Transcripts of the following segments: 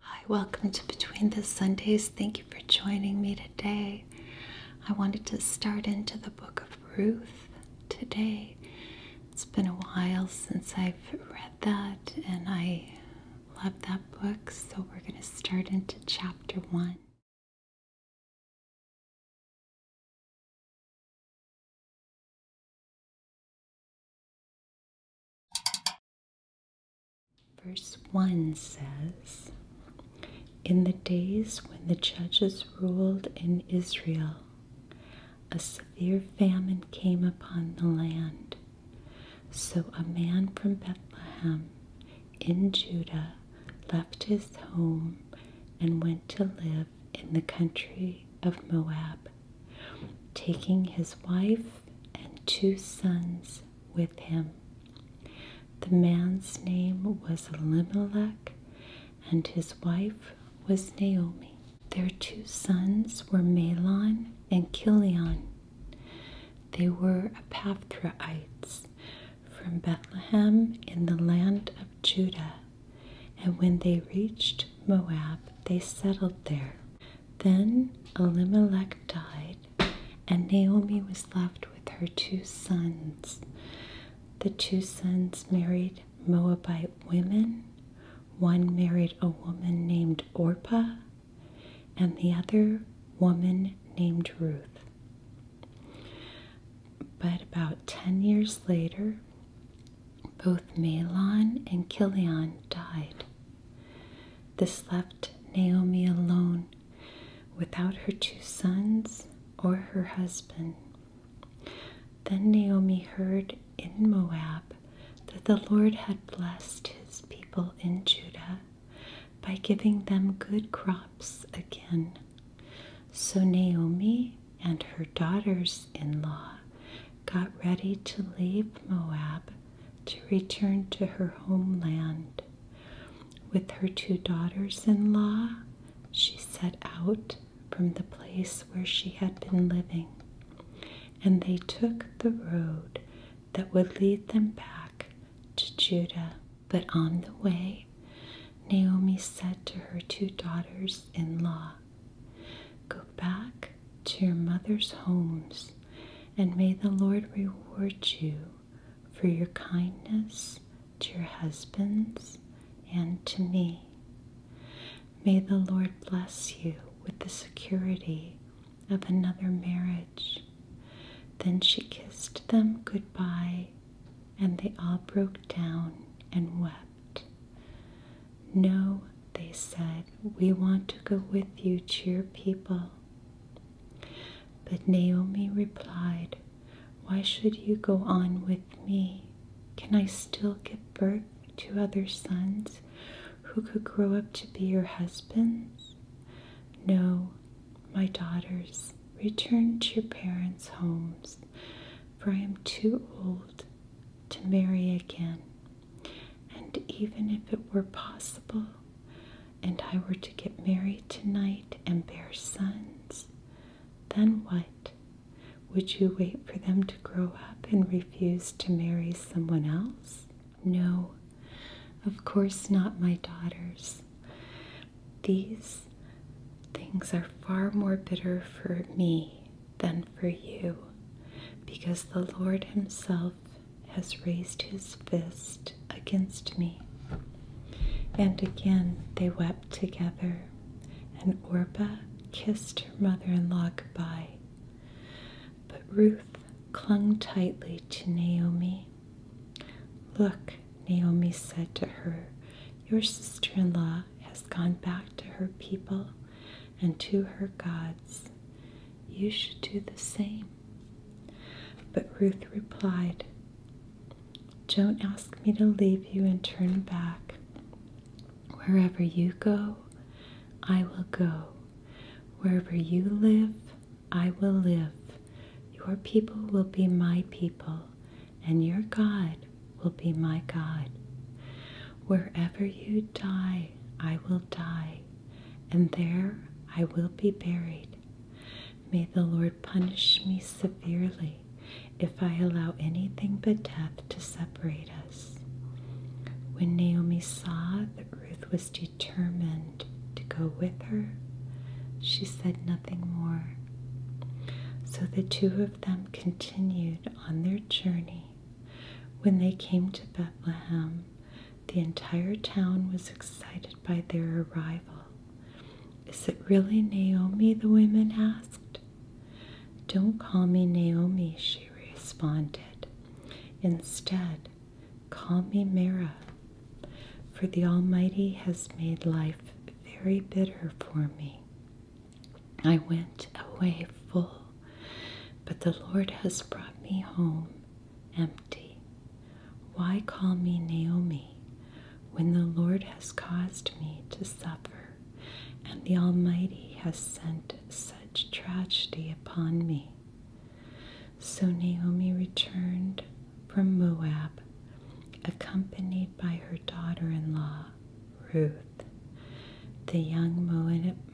Hi, welcome to Between the Sundays. Thank you for joining me today. I wanted to start into the book of Ruth today. It's been a while since I've read that, and I love that book, so we're going to start into chapter one. Verse 1 says, In the days when the judges ruled in Israel, a severe famine came upon the land. So a man from Bethlehem in Judah left his home and went to live in the country of Moab taking his wife and two sons with him. The man's name was Elimelech, and his wife was Naomi. Their two sons were Malon and Kilion. They were Epaphraites from Bethlehem in the land of Judah, and when they reached Moab, they settled there. Then Elimelech died, and Naomi was left with her two sons. The two sons married Moabite women. One married a woman named Orpah, and the other woman named Ruth. But about 10 years later, both Malon and Kilion died. This left Naomi alone without her two sons or her husband. Then Naomi heard in Moab that the Lord had blessed his people in Judah by giving them good crops again. So Naomi and her daughters in law got ready to leave Moab to return to her homeland. With her two daughters in law, she set out from the place where she had been living, and they took the road that would lead them back to Judah. But on the way, Naomi said to her two daughters in law, Go back to your mother's homes, and may the Lord reward you for your kindness to your husbands and to me. May the Lord bless you with the security of another marriage. Then she kissed them goodbye, and they all broke down and wept. No, they said, we want to go with you to your people. But Naomi replied, Why should you go on with me? Can I still give birth to other sons who could grow up to be your husbands? No, my daughters, return to your parents' homes for I am too old to marry again. And even if it were possible, and I were to get married tonight and bear sons, then what? Would you wait for them to grow up and refuse to marry someone else? No, of course not, my daughters. These things are far more bitter for me than for you, because the Lord Himself has raised His fist against me. And again they wept together, and Orba kissed her mother in law goodbye. But Ruth clung tightly to Naomi. Look, Naomi said to her, Your sister in law has gone back to her people and to her gods. You should do the same. But Ruth replied, Don't ask me to leave you and turn back. Wherever you go, I will go. Wherever you live, I will live. Your people will be my people, and your God will be my God. Wherever you die, I will die, and there I will be buried. May the Lord punish me severely if I allow anything but death to separate us. When Naomi saw that Ruth was determined to go with her, she said nothing more. So the two them continued on their journey. When they came to Bethlehem, the entire town was excited by their arrival. Is it really Naomi? the women asked. Don't call me Naomi, she responded. Instead, call me Mara, for the Almighty has made life very bitter for me. I went away full, but the Lord has brought me home empty. Why call me Naomi when the Lord has caused me to suffer and the Almighty has sent such tragedy upon me? So Naomi returned from Moab accompanied by her daughter in law, Ruth, the young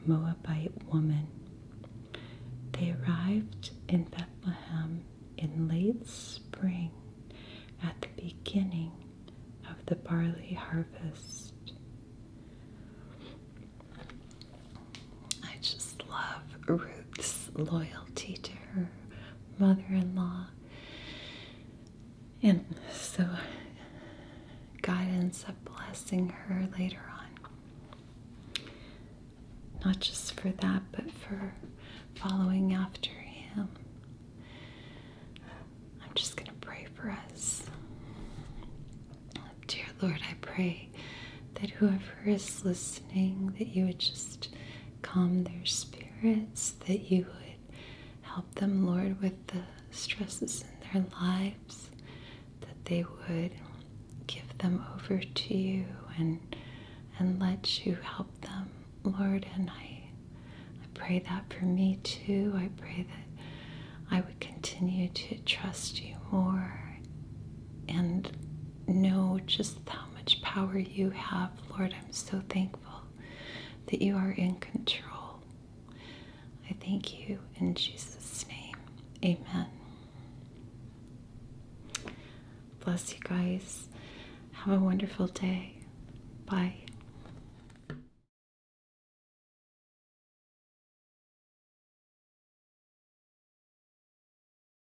Moabite woman. They arrived in Bethlehem in late spring at the beginning of the barley harvest. I just love Ruth's loyalty to her mother in law and so God ends up blessing her later on. Not just for that, but for following after Him. I'm just going to pray for us. Dear Lord, I pray that whoever is listening, that you would just calm their spirit that you would help them, Lord, with the stresses in their lives, that they would give them over to you and and let you help them, Lord. And I I pray that for me too. I pray that I would continue to trust you more and know just how much power you have, Lord. I'm so thankful that you are in control. I thank you in Jesus' name. Amen. Bless you guys. Have a wonderful day. Bye.